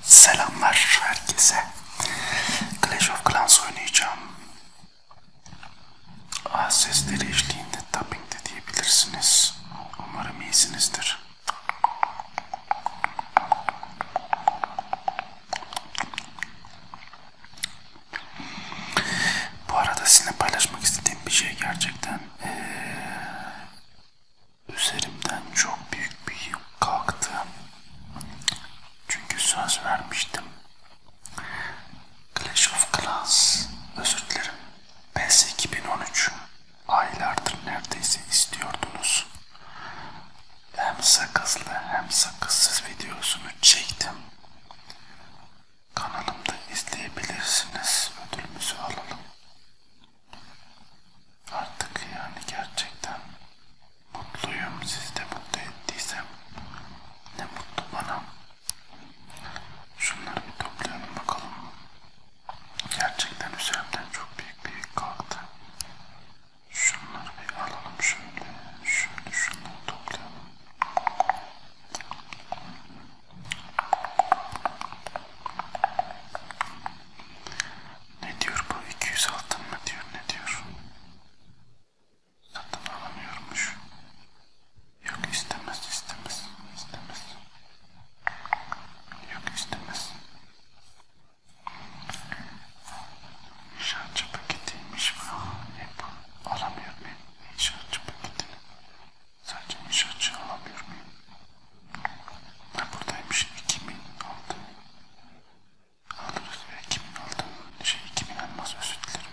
Selamlar herkese. Clash of Clans oynayacağım. Ah sesleri eşliğinde tapping de diyebilirsiniz. Umarım iyisinizdir. Bu arada sizinle paylaşmak istediğim bir şey gerçekten ee, üzerimden çok büyük bir yük kalktı. Çünkü söz vermiştim. Clash of Clans, özür dilerim. PS 2013 aylardır neredeyse istiyordunuz hem sakızlı hem sakızsız videosunu çektim. Kanalımda izleyebilirsiniz. Ödülümüzü alalım. Artık yani gerçekten mutluyum. Siz de mutlu ettiysem ne mutlu bana. Şunları bir toplayalım bakalım. Gerçekten üzerimden çok büyük bir yük kalktı. Şunları bir alalım şöyle. Şöyle şunları toplayalım. Ne diyor bu? 200 altın mı diyor? Ne diyor? Satın alamıyormuş. Yok istemez istemez istemez. Yok istemez. Şarjı paketiymiş bu. Hep alamıyor muyum? Şarjı paketini. Sadece şarjı alamıyor muyum? Ben buradaymış. 2000 aldım. Alırız. 2000 aldım. Şey 2000 almaz özür dilerim.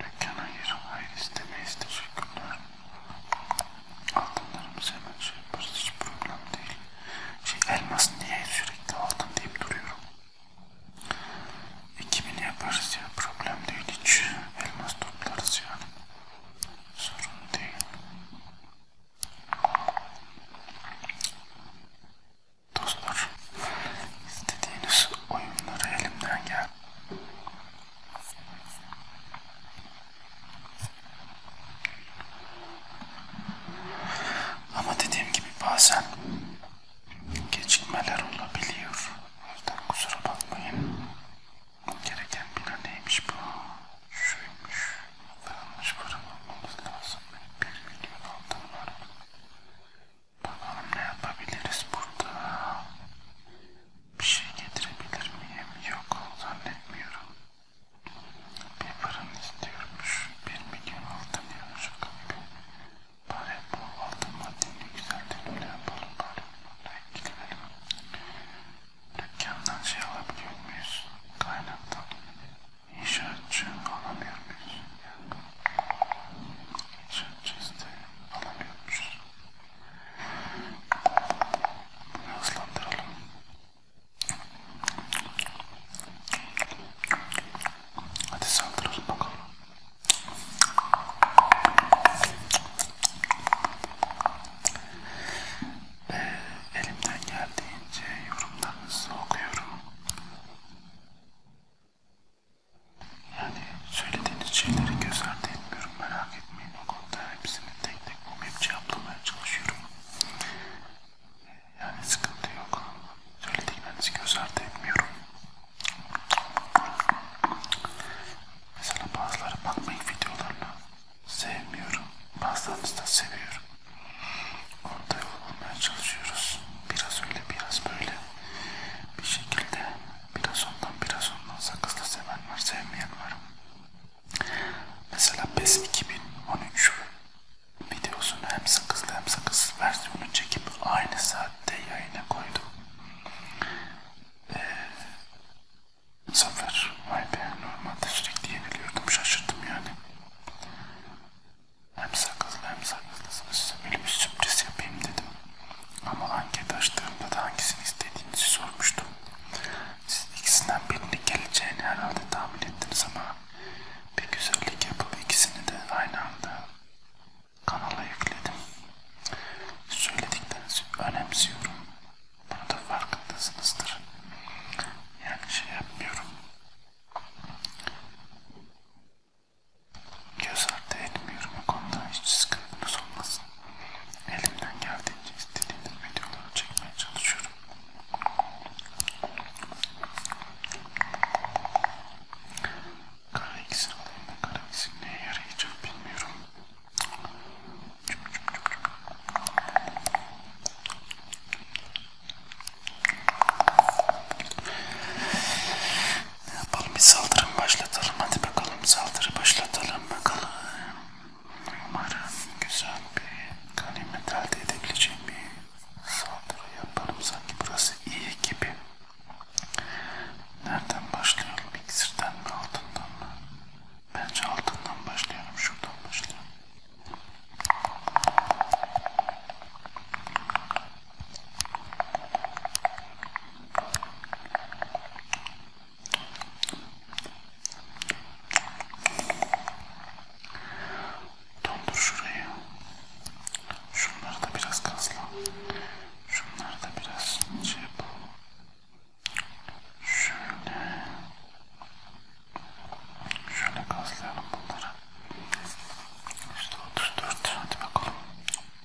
Beklenen yüzün hayır istemeyiz teşekkürler. Altınlarımızı hemen şey yaparız hiç problem değil. Şey elmas niye sürekli altın deyip duruyorum. 2000 yaparız ya problem değil hiç elmas toplarız yani. Sorun değil. Dostlar istediğiniz oyunları elimden gel ama dediğim gibi bazen gecikmeler olabiliyor. O yüzden kusura bakmayın. Gereken bina neymiş bu? Şuymuş. Falanmış para bulmamız lazım. Bir milyon altın var. Bakalım ne yapabiliriz burada. Bir şey getirebilir miyim? Yok zannetmiyorum. Bir fırın istiyormuş. Bir milyon altın ya şaka gibi. Bari bu altın madeni güzel dönümle yapalım bari. Buraya gidelim. Dükkandan şey alabiliyor muyuz? Kaynaktan. İnşaatçı alamıyor muyuz? İnşaatçı isteği alamıyormuşuz. Hızlandıralım. Hadi saldıralım bakalım. Ee, elimden geldiğince yorumlarınızı okuyorum. Yani söylediğiniz şeyleri göz ardı etmiyorum. Merak etmeyin o konuda hepsini tek tek bulmayıp cevaplamaya çalışıyorum. Yani sıkıntı yok. Söylediklerinizi göz ardı etmiyorum. Mesela bazıları bakmayın videolarına sevmiyorum. Bazılarını da seviyorum. Orada yol bulmaya çalışıyoruz. Biraz öyle biraz böyle bir şekilde Biraz ondan biraz ondan sakızlı seven var, sevmeyen var. Mesela PES 2013 videosunu hem sakızlı hem sakızsız versiyonu çekip aynı saatte yayına koydum. Ee, Zafer, vay be normalde sürekli yeniliyordum şaşırdım yani. Hem sakızlı hem sakızlısınız. Böyle bir sürpriz yapayım dedim. Ama anket açtığımda da hangisini istediğinizi sormuştum. Siz ikisinden birinin geleceğini herhalde tahmin ettiniz ama bir güzellik yapıp ikisini de aynı anda kanala yükledim. Söylediklerinizi önemsiyorum. Bunu da farkındasınızdır. Yani şey yapmıyorum. Göz ardı etmiyorum bu konuda hiç sıkıntınız olmasın. Elimden geldiğince istediğiniz videoları çekmeye çalışıyorum. Kara iksir alayım da kara iksir neye yarayacak bilmiyorum. Yapalım bir saldırım başlatalım. Hadi bakalım saldırı başlatalım bakalım. Umarım güzel bir ganimet elde edebileceğim bir saldırı yaparım. Sanki burası iyi gibi. Nereden başlayalım? İksirden mi altından mı? Bence altından başlayalım. Şuradan başlayalım. Dondur şurayı. Şunları da biraz gazla. Şunları da biraz şey yap. Şöyle. Şöyle gazlayalım bunları. İşte 34. Hadi bakalım.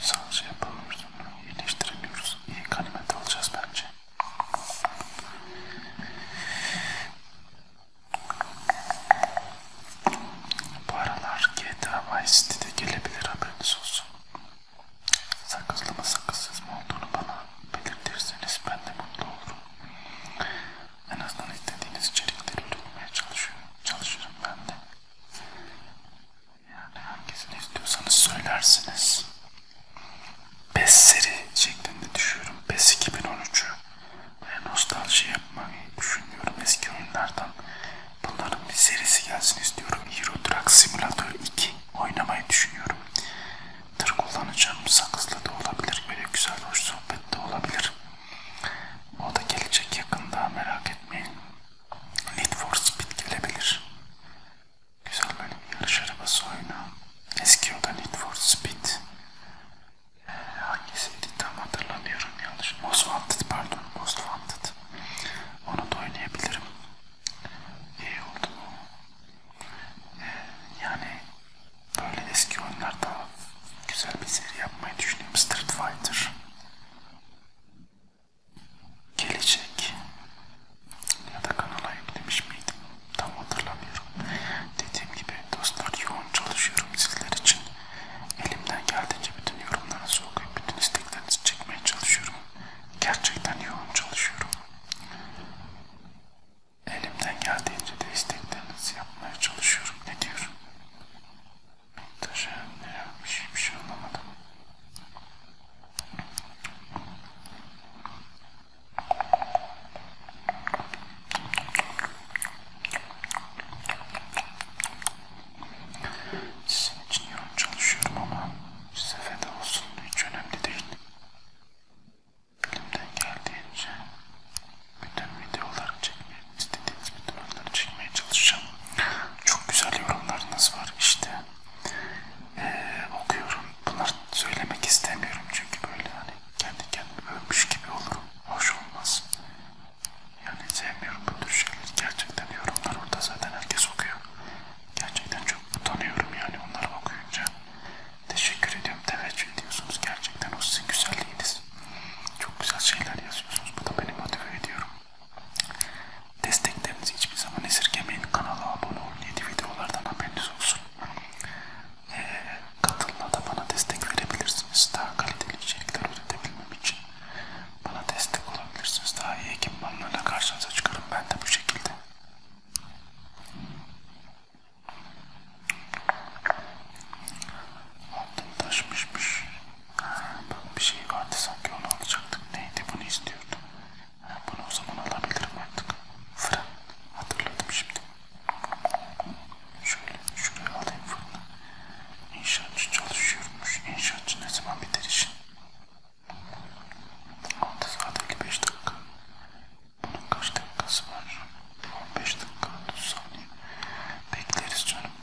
Sadece şey yapamıyoruz, iyileştiremiyoruz. İyi kalimet alacağız bence. Bu aralar GTA Vice City'de gelebilir haberiniz olsun. Sakızlı mı sakızsız mı olduğunu bana belirtirseniz ben de mutlu olurum. En azından istediğiniz içerikleri üretmeye çalışıyorum. Çalışırım ben de. Yani hangisini istiyorsanız söylersiniz. PES seri şeklinde düşüyorum. PES 2013'ü ve nostalji yapmayı düşünüyorum eski oyunlardan. Bunların bir serisi gelsin istiyorum. Euro Truck Simulator 2 oynamayı düşünüyorum. Tır kullanacağım. Sakızlı da olabilir. Böyle güzel hoş sohbet de olabilir. O da gelecek yakında merak etmeyin. Need for Speed gelebilir. Güzel böyle bir yarış arabası oyunu. Eski o da Need for Speed. Ee, hangisiydi tam hatırlamıyorum yanlış. Most Wanted pardon. Most Wanted. Onu da oynayabilirim. İyi oldu bu. Ee, yani böyle eski oyunlarda güzel bir seri yapmayı düşünüyorum. Street Fighter gelecek ya da kanala yüklemiş miydim tam hatırlamıyorum. Dediğim gibi dostlar yoğun çalışıyorum sizler için. Elimden geldiğince bütün yorumlarınızı okuyup bütün isteklerinizi çekmeye çalışıyorum. Gerçekten yoğun çalışıyorum. Elimden geldiğince de isteklerinizi yapmaya çalışıyorum. Ne diyorum? Taşa ne yapmış hiçbir şey anlamadım. Sizin için yoğun çalışıyorum ama size feda olsun hiç önemli değil. Elimden geldiğince bütün videoları çekmeye istediğiniz bütün anları çekmeye çalışacağım. Çok güzel yorumlarınız var işte. Ee, okuyorum. Bunları söylemek istemiyorum çünkü böyle hani kendi kendimi ölmüş gibi olurum. Hoş olmaz. Yani sevmiyorum bu tür şeyleri. Gerçekten yorumlar orada zaten herkes okuyor. Gerçekten çok utanıyorum yani onları okuyunca. Teşekkür ediyorum. Teveccüh ediyorsunuz. Gerçekten o sizin güzelliğiniz. Çok güzel şeyler yazıyorsunuz. Bu da beni motive ediyorum. Desteklerinizi hiçbir zaman esirgemeyin. Kanala abone olun. Yeni videolardan haberiniz olsun. E, ee, katılma da bana destek verebilirsiniz. Daha kaliteli içerikler üretebilmem için bana destek olabilirsiniz. Daha iyi ekipmanlarla karşınıza çıkarım. Ben de bu şekilde. Altın taşmışmış. Bak bir şey vardı sanki onu alacaktık. Neydi bunu istiyordum. Ha, bunu o zaman alabilirim artık. Fırın. Hatırladım şimdi. Şöyle şuraya alayım fırını. İnşaatçı çalışıyormuş. İnşaatçı ne zaman biter işin? 6 saat 55 dakika. Bunun kaç dakikası var? 15 dakika 30 saniye. Bekleriz canım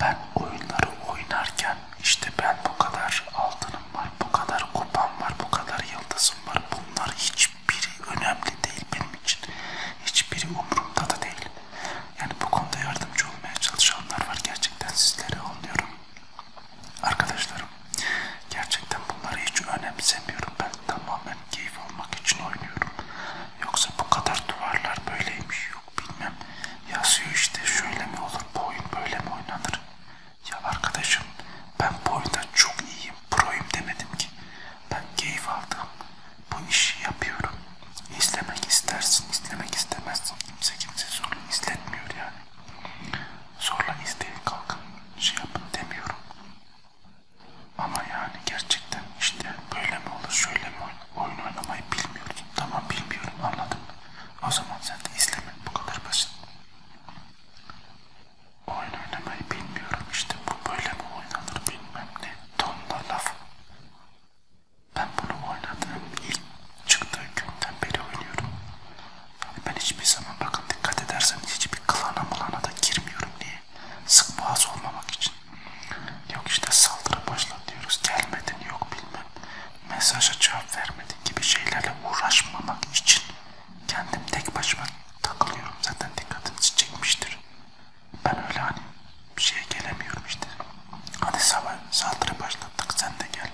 ben oyunları oynarken işte ben bu kadar altınım var, bu kadar kupam var, bu kadar yıldızım var. Bunlar hiçbiri önemli değil benim için. Hiçbiri umurumda da değil. Yani bu konuda yardımcı olmaya çalışanlar var. Gerçekten sizleri anlıyorum. Arkadaşlarım gerçekten bunları hiç önemsemiyorum. Ben tamamen keyif almak için oynuyorum. Yoksa bu kadar duvarlar böyleymiş, yok bilmem yazıyor işte şöyle mi olur bu oyun böyle mi oynanır ya arkadaşım ben bu oyunda çok iyiyim proyum demedim ki ben keyif aldım bu işi yapıyorum izlemek istersin izlemek istemezsin kimse kimse zorla izletmiyor yani zorla izleyin kalkın şey yapın demiyorum ama yani gerçekten işte böyle mi olur şöyle mi olur Oyun oynamayı bilmiyorsun. Tamam bilmiyorum anladım. O zaman sen de izlemen bu kadar basit. Oyun oynamayı bilmiyorum işte bu böyle mi oynanır bilmem ne. Tonla laf. Ben bunu oynadığım ilk çıktığı günden beri oynuyorum. Ben hiçbir zaman bakın dikkat ederseniz hiçbir klana mılana da girmiyorum diye. Sık boğaz olmamak için. Yok işte saldırı başlatıyoruz gelmedin yok bilmem mesaja cevap vermedi gibi şeylerle uğraşmamak için kendim tek başıma takılıyorum. Zaten dikkatinizi çekmiştir. Ben öyle hani bir şeye gelemiyorum işte. Hadi sabah saldırı başlattık sen de gel.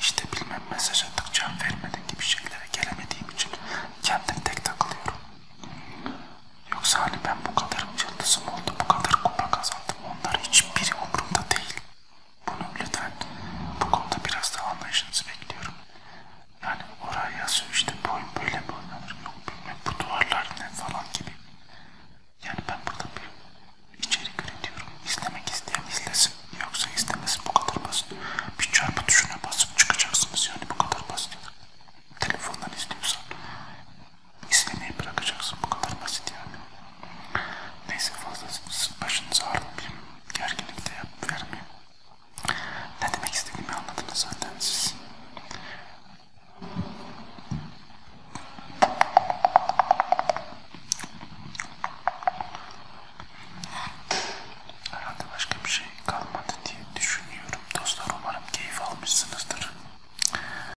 İşte bilmem mesaj attık cevap vermedin gibi şeylere gelemediğim için kendim tek takılıyorum. Yoksa hani ben bu kadar yıldızım oldu, bu kadar kupa kazandım sandım. Onlar hiçbiri umurumda değil. Bunu lütfen bu konuda biraz daha anlayışınızı bekliyorum. Yani oraya yazıyor işte boyun böyle mi oynanır yok bilmem bu duvarlar ne falan gibi. Yani ben burada bir içerik üretiyorum. İzlemek isteyen izlesin. Yoksa istemesin bu kadar basit. Bir çarpı tuşuna basıp çıkacaksınız yani bu kadar basit. Telefondan izliyorsan İstemeyi bırakacaksın. Bu kadar basit yani. Neyse fazla başınızı ağrımayayım. Gerginlik de yap, vermeyeyim. Ne demek istediğimi anladınız zaten siz. Herhalde başka bir şey kalmadı diye düşünüyorum. Dostlar umarım keyif almışsınızdır.